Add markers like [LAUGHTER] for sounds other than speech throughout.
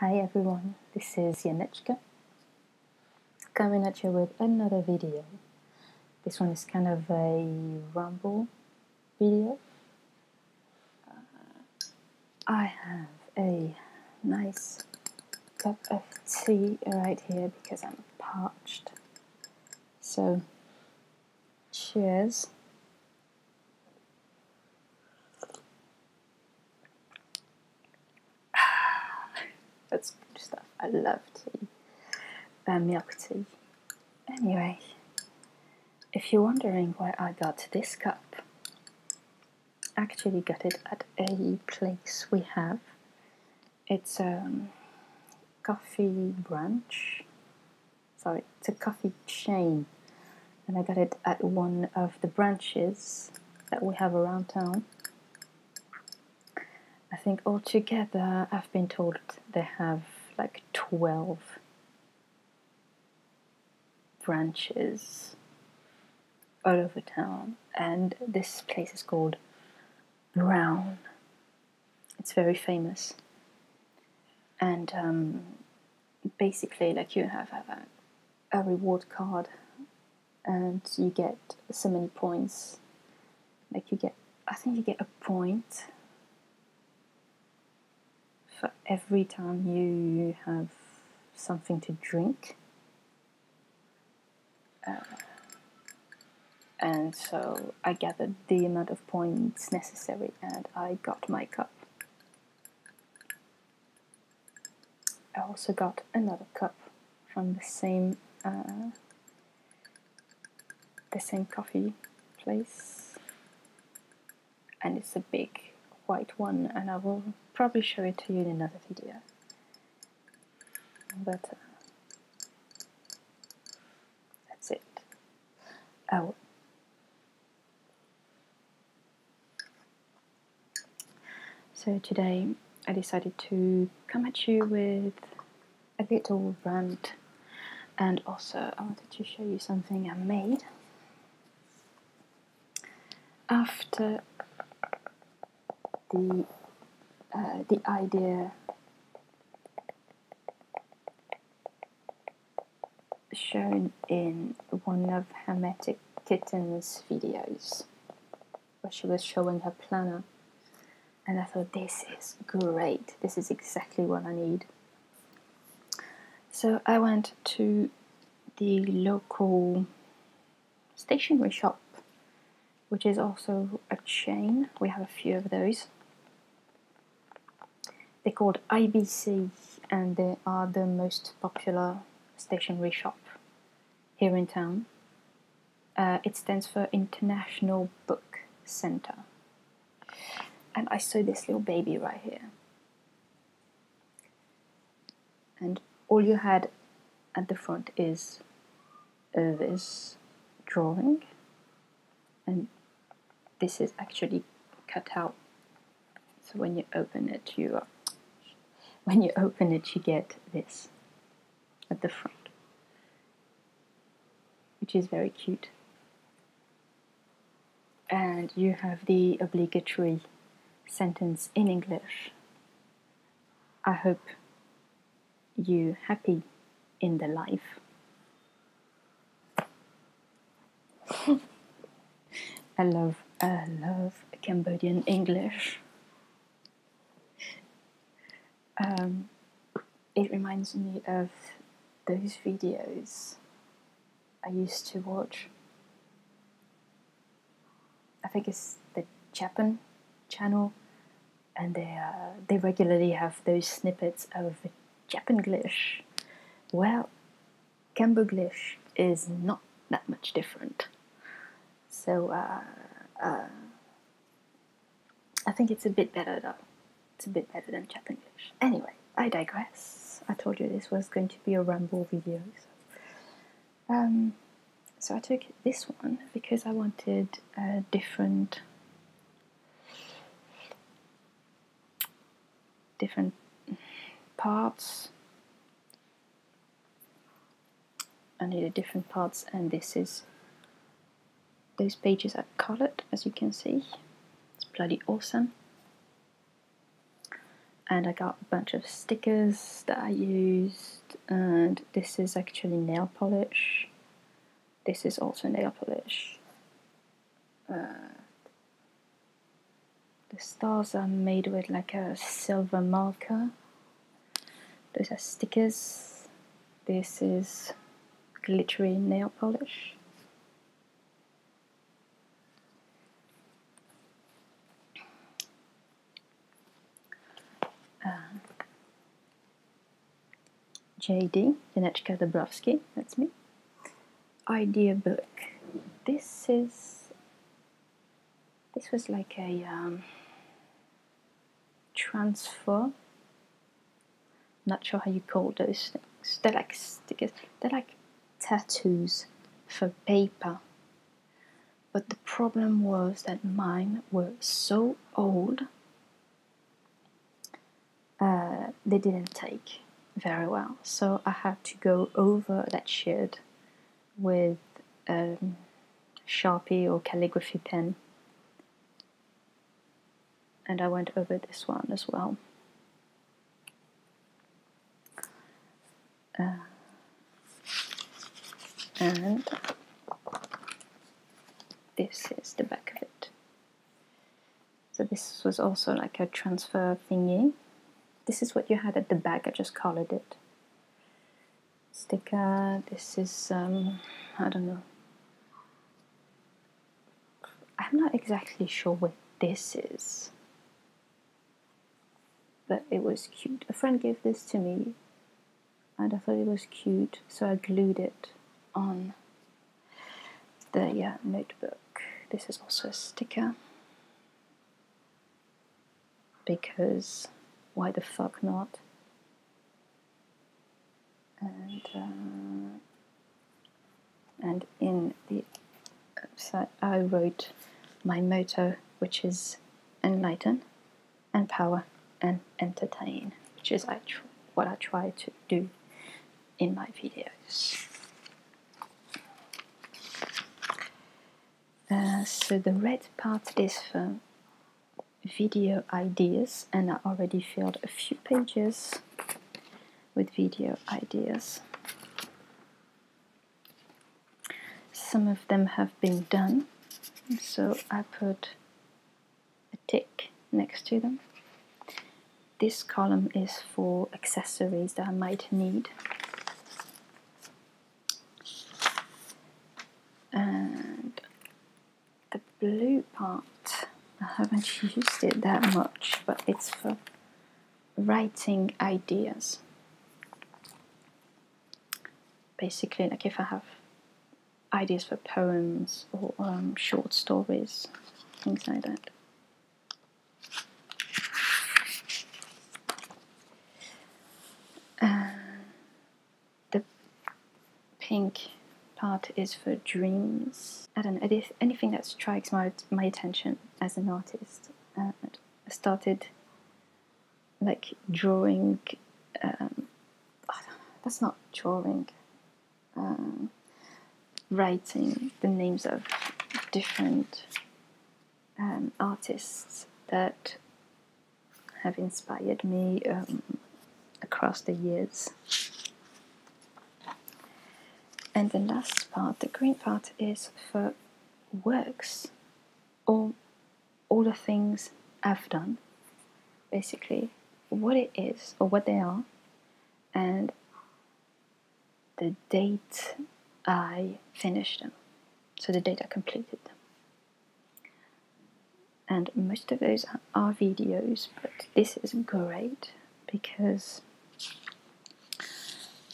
Hi everyone, this is Janeczka coming at you with another video. This one is kind of a rumble video. Uh, I have a nice cup of tea right here because I'm parched. So Cheers. [SIGHS] That's good stuff. I love tea. Uh, milk tea. Anyway, if you're wondering why I got this cup, actually got it at a place we have. It's a um, coffee branch sorry, it's a coffee chain. And I got it at one of the branches that we have around town. I think altogether I've been told they have like 12 branches all over town and this place is called Brown it's very famous. And um, basically, like you have, a, reward card, and you get so many points. Like you get, I think you get a point for every time you have something to drink. Uh, and so I gathered the amount of points necessary and I got my cup. I also got another cup from the same uh, the same coffee place and it's a big white one and I will probably show it to you in another video but uh, that's it. Out. Oh. So today I decided to come at you with a bit of rant and also I wanted to show you something I made after the uh, the idea shown in one of Hermetic Kitten's videos where she was showing her planner and I thought this is great this is exactly what I need so I went to the local stationery shop which is also a chain we have a few of those they're called IBC and they are the most popular stationery shop here in town. Uh, it stands for International Book Center. And I saw this little baby right here. And all you had at the front is this drawing and this is actually cut out so when you open it you when you open it you get this at the front which is very cute and you have the obligatory sentence in English I hope you happy in the life. [LAUGHS] I love, I love Cambodian English. Um, it reminds me of those videos I used to watch. I think it's the Japan channel and they uh, they regularly have those snippets of Japanglish. Well, Camboglish is not that much different. So uh, uh, I think it's a bit better though. It's a bit better than Japanglish. Anyway, I digress. I told you this was going to be a ramble video. so um, I took this one because I wanted a different different parts I need a different parts and this is those pages are colored as you can see it's bloody awesome and I got a bunch of stickers that I used and this is actually nail polish this is also nail polish. Uh, the stars are made with like a silver marker. Those are stickers. This is glittery nail polish. Uh, JD, Janeczka Dabrowski, that's me. Idea book. This is this was like a um, transfer. Not sure how you call those things. They're like stickers. They're like tattoos for paper. But the problem was that mine were so old uh, they didn't take very well. So I had to go over that shed with um, Sharpie or calligraphy pen. And I went over this one as well. Uh, and this is the back of it. So this was also like a transfer thingy. This is what you had at the back, I just colored it. Sticker, this is, um, I don't know. I'm not exactly sure what this is. But it was cute. A friend gave this to me and I thought it was cute, so I glued it on the yeah, notebook. This is also a sticker because why the fuck not? And uh, and in the I wrote my motto, which is enlighten and power and entertain, which is what I try to do in my videos. Uh, so the red part is for video ideas and I already filled a few pages with video ideas. Some of them have been done so I put a tick next to them. This column is for accessories that I might need. And the blue part, I haven't [LAUGHS] used it that much, but it's for writing ideas. Basically, like if I have ideas for poems or um, short stories, things like that. Um, the pink part is for dreams. I don't know, anything that strikes my, my attention as an artist. Uh, I started like drawing. Um, that's not drawing. Um, writing the names of different um, artists that have inspired me across the years. And the last part, the green part, is for works all, all the things I've done, basically, what it is or what they are, and the date I finished them, so the date I completed them. And most of those are videos, but this is great because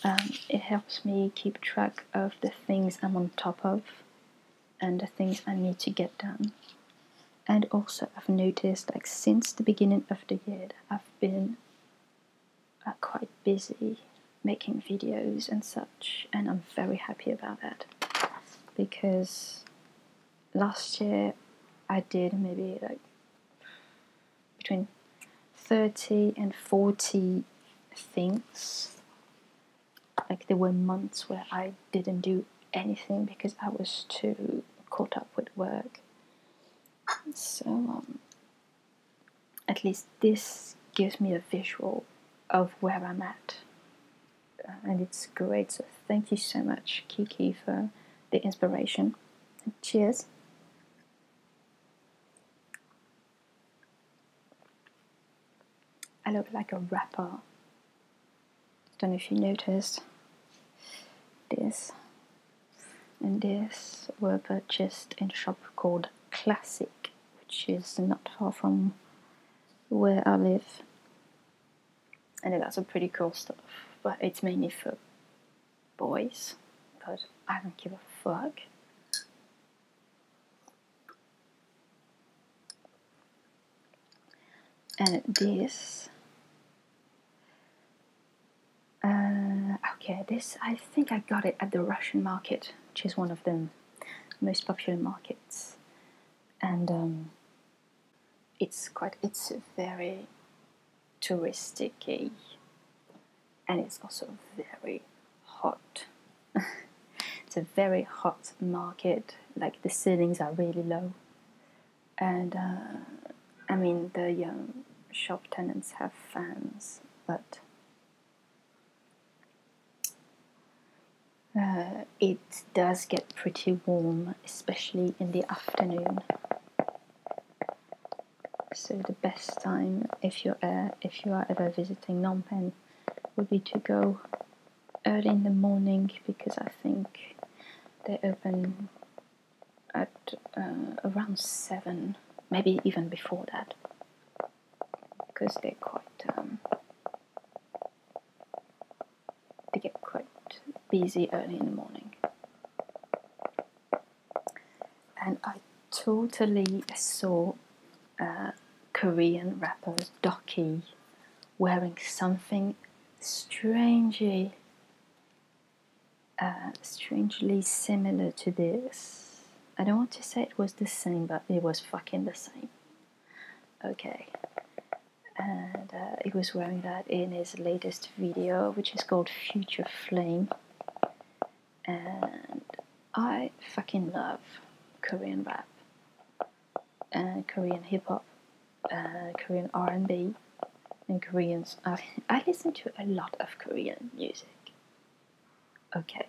um, it helps me keep track of the things I'm on top of and the things I need to get done. And also, I've noticed like since the beginning of the year, I've been quite busy making videos and such, and I'm very happy about that because last year I did maybe like between 30 and 40 things like there were months where I didn't do anything because I was too caught up with work. So um, at least this gives me a visual of where I'm at. Uh, and it's great. So thank you so much, Kiki, for the inspiration. Cheers. I look like a rapper. Don't know if you noticed. This and this were purchased in a shop called Classic, which is not far from where I live. And it has some pretty cool stuff, but it's mainly for boys. But I don't give a fuck and this uh, okay this I think I got it at the Russian market which is one of the most popular markets and um, it's quite it's very touristic and it's also very hot [LAUGHS] it's a very hot market. Like the ceilings are really low, and uh, I mean the um, shop tenants have fans, but uh, it does get pretty warm, especially in the afternoon. So the best time if you're uh, if you are ever visiting Phnom Penh would be to go early in the morning because I think they open at uh, around 7, maybe even before that, because they're quite, um, they get quite busy early in the morning. And I totally saw uh, Korean rapper Doki wearing something strangely, uh, strangely similar to this. I don't want to say it was the same, but it was fucking the same. Okay. And uh, he was wearing that in his latest video, which is called Future Flame. And I fucking love Korean rap, uh, Korean hip hop, uh, Korean R and B, and Koreans. I, I listen to a lot of Korean music. Okay.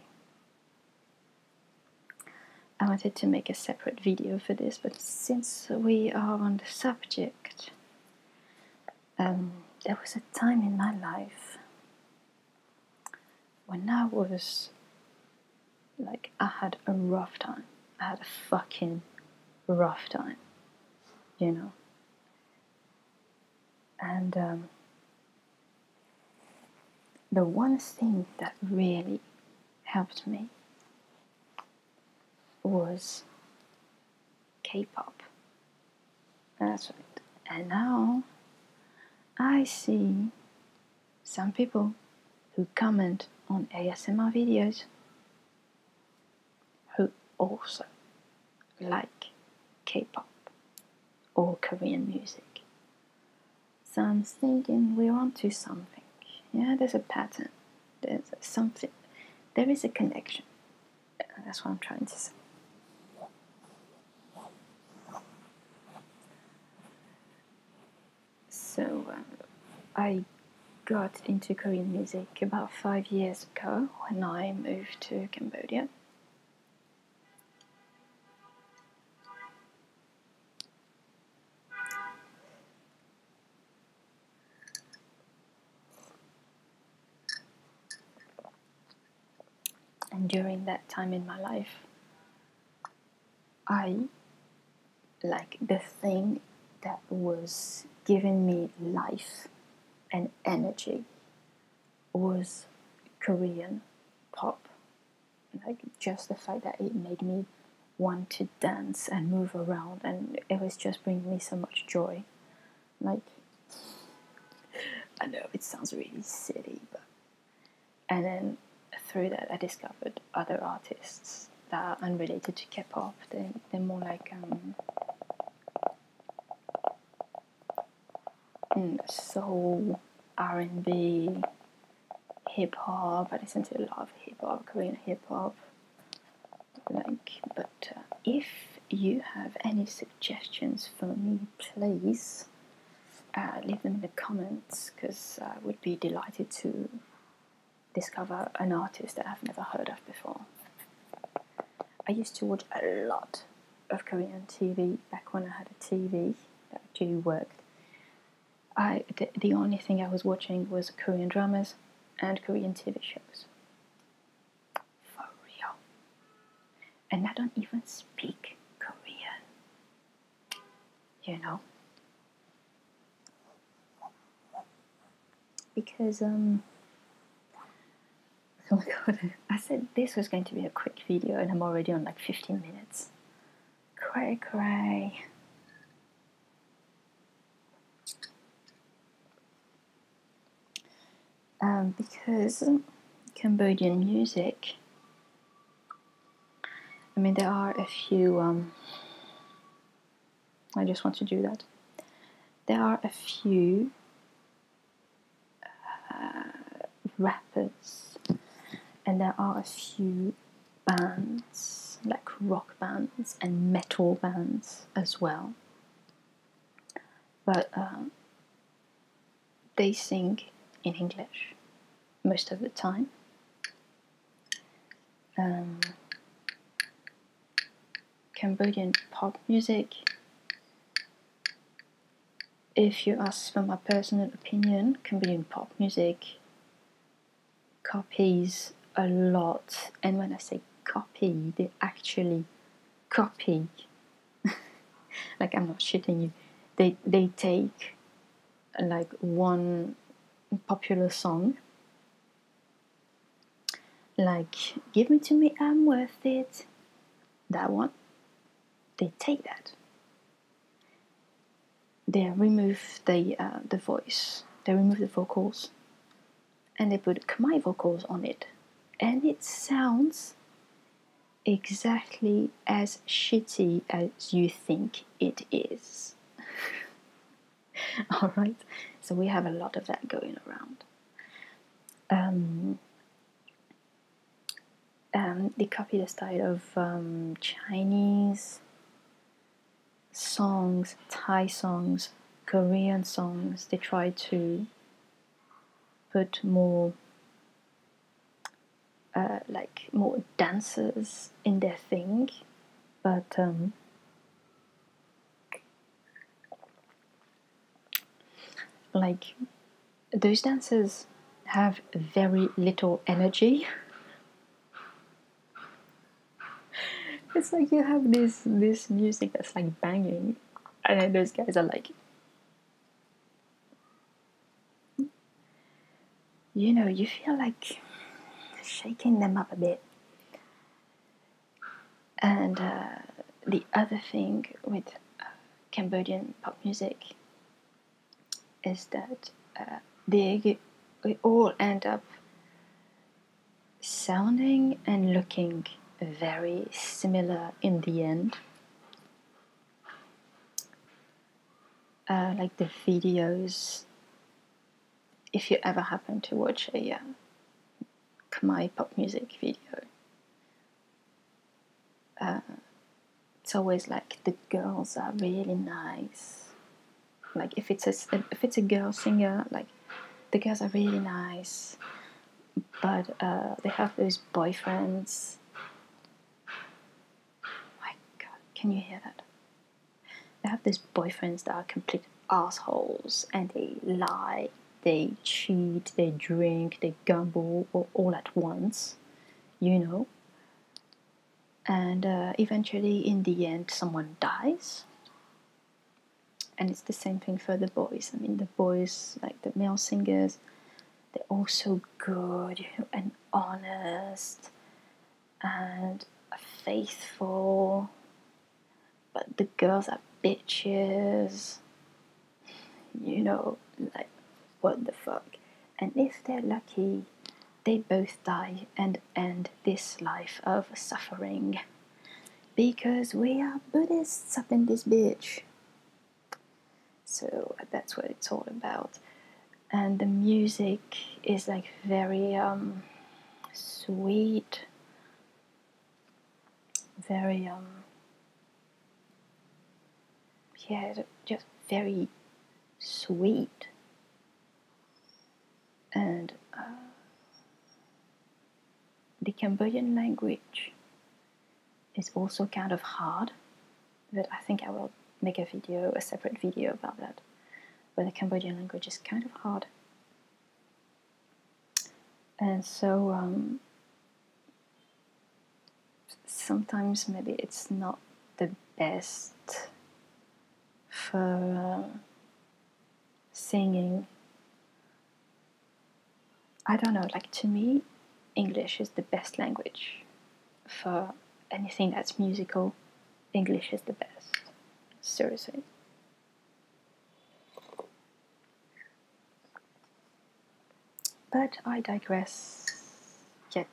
I wanted to make a separate video for this, but since we are on the subject, um, there was a time in my life when I was like, I had a rough time. I had a fucking rough time, you know. And um, the one thing that really helped me was K-pop. That's right. And now I see some people who comment on ASMR videos who also like K-pop or Korean music. So I'm thinking we're onto something. Yeah, there's a pattern. There's something. There is a connection. That's what I'm trying to say. So, uh, I got into Korean music about five years ago when I moved to Cambodia. And during that time in my life, I like the thing that was giving me life and energy was Korean pop. Like just the fact that it made me want to dance and move around, and it was just bringing me so much joy. Like, I know it sounds really silly, but and then through that I discovered other artists that are unrelated to K-pop. They are more like um, mm, soul, R and B, hip hop. I listen to a lot of hip hop, Korean hip hop. Like, but uh, if you have any suggestions for me, please uh, leave them in the comments because I uh, would be delighted to discover an artist that I've never heard of before. I used to watch a lot of Korean TV back when I had a TV that actually worked. I the, the only thing I was watching was Korean dramas and Korean TV shows. For real. And I don't even speak Korean. You know? Because, um, [LAUGHS] oh my god, I said this was going to be a quick video and I'm already on like 15 minutes. Cray cray. Um, because Cambodian music I mean, there are a few. Um, I just want to do that. There are a few uh, rappers, and there are a few bands, like rock bands and metal bands as well. But um, they sing in English most of the time. Um, Cambodian pop music. If you ask for my personal opinion, Cambodian pop music copies a lot, and when I say copy, they actually copy [LAUGHS] like I'm not shitting you. They they take like one popular song like give me to me i'm worth it that one they take that they remove the uh, the voice they remove the vocals and they put my vocals on it and it sounds exactly as shitty as you think it is. [LAUGHS] Alright, so we have a lot of that going around. Um, um, they copy the style of um, Chinese songs, Thai songs, Korean songs. They try to put more uh, like more dancers in their thing, but um, like those dancers have very little energy. [LAUGHS] it's like you have this this music that's like banging, and then those guys are like you know, you feel like shaking them up a bit. And uh, the other thing with uh, Cambodian pop music is that uh, they all end up sounding and looking very similar in the end. Uh, like the videos if you ever happen to watch a uh, pop music video uh, it's always like the girls are really nice like if it's a if it's a girl singer like the girls are really nice but uh, they have those boyfriends. My God, can you hear that? They have those boyfriends that are complete assholes, and they lie, they cheat, they drink, they gamble, all, all at once. You know. And uh, eventually, in the end, someone dies and it's the same thing for the boys. I mean, the boys, like the male singers, they're all so good and honest and faithful. But the girls are bitches. You know, like, what the fuck? And if they're lucky, they both die and end this life of suffering. Because we are Buddhists up in this bitch. So that's what it's all about. And the music is like very um, sweet, very, um, yeah, just very sweet. And uh, the Cambodian language is also kind of hard, but I think I will make a video, a separate video about that. But the Cambodian language is kind of hard. And so um, sometimes maybe it's not the best for uh, singing I don't know, like to me, English is the best language for anything that's musical. English is the best. Seriously. But I digress yet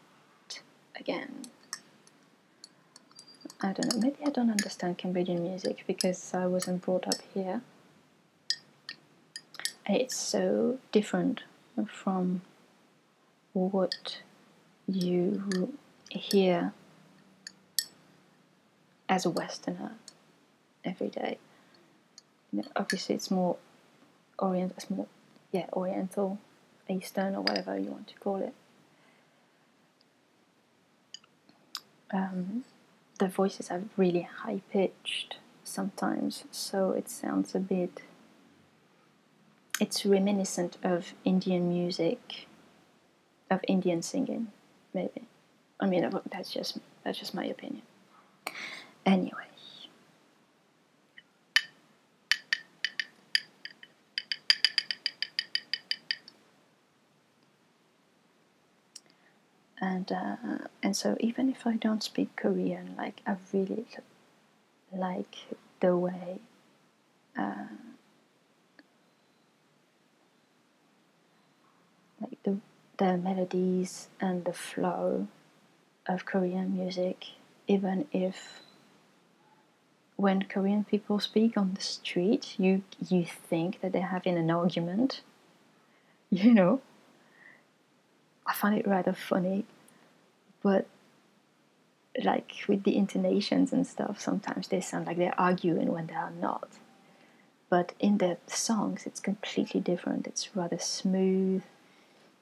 again. I don't know, maybe I don't understand Cambodian music because I wasn't brought up here. It's so different from what you hear as a Westerner every day. obviously, it's more Orient, yeah, Oriental, Eastern, or whatever you want to call it. Um, the voices are really high pitched sometimes, so it sounds a bit. It's reminiscent of Indian music, of Indian singing, maybe. I mean, uh, that's just that's just my opinion. Anyway and uh, and so even if I don't speak Korean, like I really like the way uh, like the the melodies and the flow of Korean music, even if when Korean people speak on the street, you you think that they're having an argument, [LAUGHS] you know, I find it rather funny, but like with the intonations and stuff, sometimes they sound like they're arguing when they are not. But in their songs, it's completely different. It's rather smooth,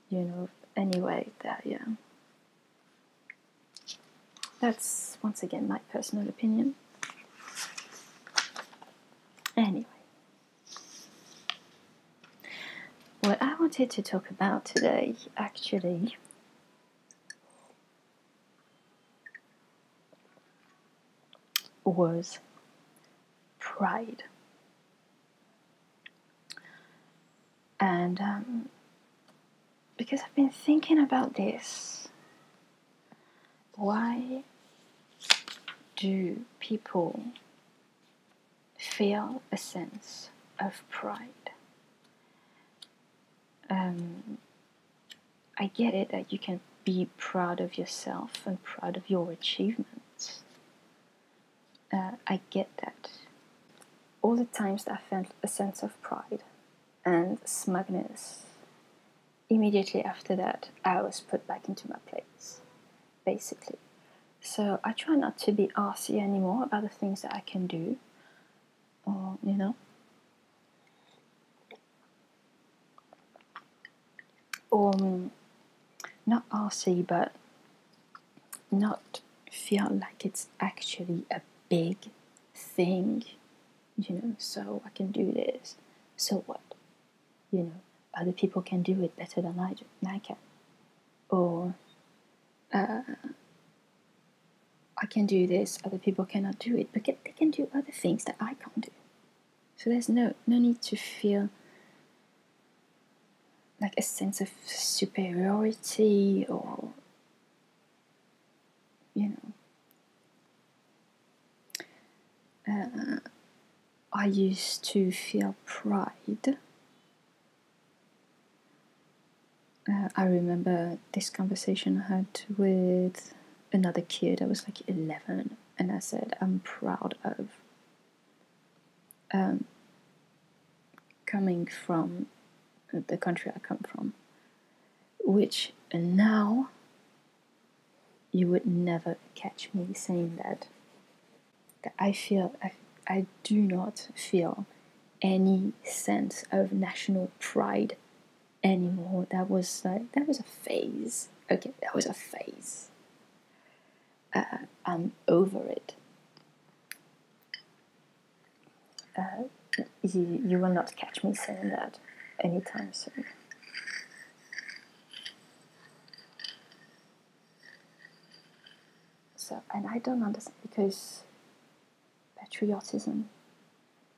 you know. Anyway, that yeah. That's once again my personal opinion. Anyway. What I wanted to talk about today actually was pride. And um, because I've been thinking about this why do people feel a sense of pride? Um, I get it that you can be proud of yourself and proud of your achievements. Uh, I get that. All the times that I felt a sense of pride and smugness immediately after that, I was put back into my place, basically. So I try not to be arsy anymore about the things that I can do, or you know, or um, not arsy, but not feel like it's actually a big thing, you know. So I can do this. So what? you know, other people can do it better than I, can. Or uh, I can do this, other people cannot do it, but they can do other things that I can't do. So there's no, no need to feel like a sense of superiority or, you know, uh, I used to feel pride. Uh, I remember this conversation I had with another kid. I was like 11, and I said, I'm proud of um, coming from the country I come from, which now you would never catch me saying that. That I feel, I, I do not feel any sense of national pride anymore. That was like, that was a phase. Okay, that was a phase. Uh, I'm over it. Uh, you will not catch me saying that anytime soon. So, and I don't understand because patriotism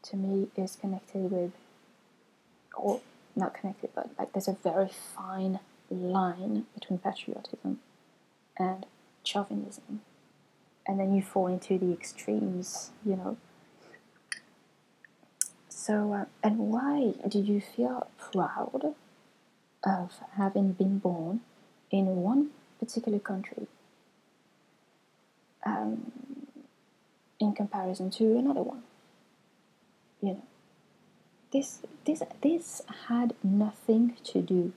to me is connected with, or not connected, but like there's a very fine line between patriotism and chauvinism. And then you fall into the extremes, you know. So, uh, and why do you feel proud of having been born in one particular country um, in comparison to another one? You know, this this this had nothing to do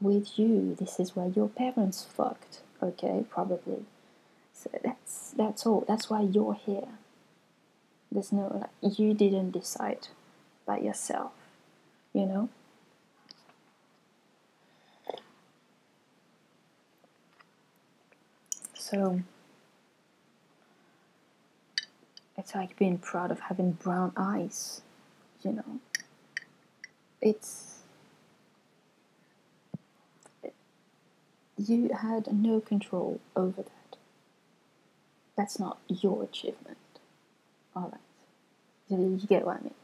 with you. This is where your parents fucked. Okay, probably. So that's that's all. That's why you're here. There's no like you didn't decide by yourself, you know. So it's like being proud of having brown eyes, you know. It's you had no control over that. That's not your achievement. Alright. You, get what I mean.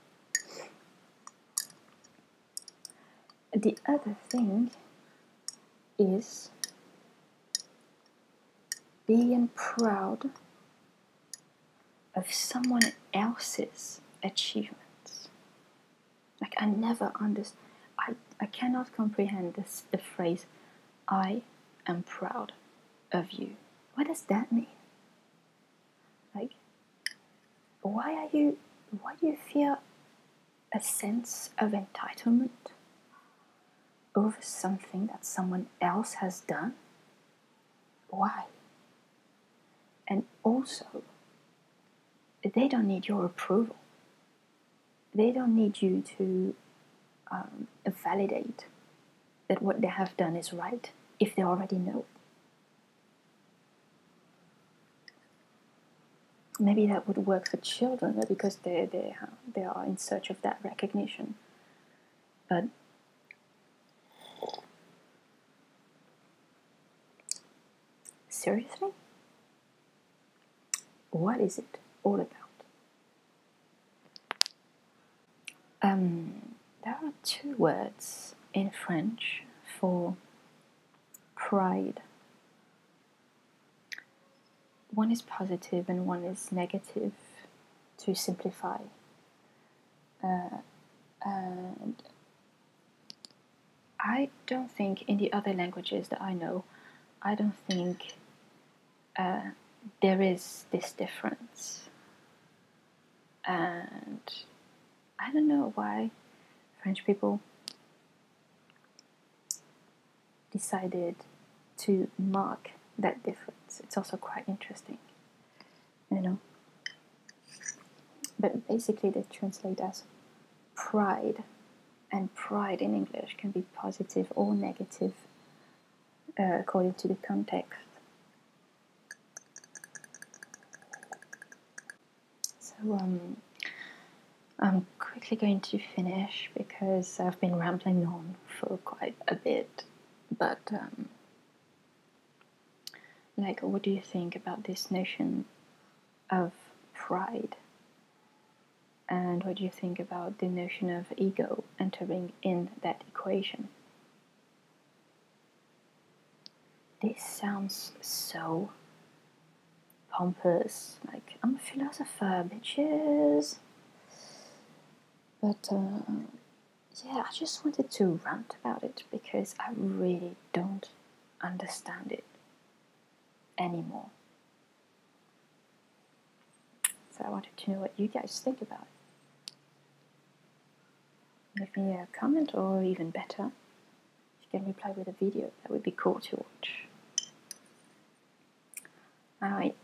The other thing is being proud of someone else's achievements. Like I never understand. I, I cannot comprehend this phrase I am proud of you. What does that mean? Like why are you why do you feel a sense of entitlement over something that someone else has done? Why? And also, they don't need your approval they don't need you to um, validate that what they have done is right if they already know. Maybe that would work for children because they, they, um, they are in search of that recognition. But seriously? What is it all about? Um, there are two words in French for pride. One is positive and one is negative, to simplify. Uh, I don't think in the other languages that I know, I don't think uh, there is this difference. And I don't know why French people decided to mark that difference. It's also quite interesting, you know. But basically, they translate as pride, and pride in English can be positive or negative uh, according to the context. So um, I'm quickly going to finish because I've been rambling on for quite a bit, but um, like, what do you think about this notion of pride. And what do you think about the notion of ego entering in that equation? This sounds so pompous, like I'm a philosopher, bitches. But uh, yeah, I just wanted to rant about it because I really don't understand it anymore. So I wanted to know what you guys think about it. Leave me a comment, or even better, you can reply with a video. That would be cool to watch. Alright.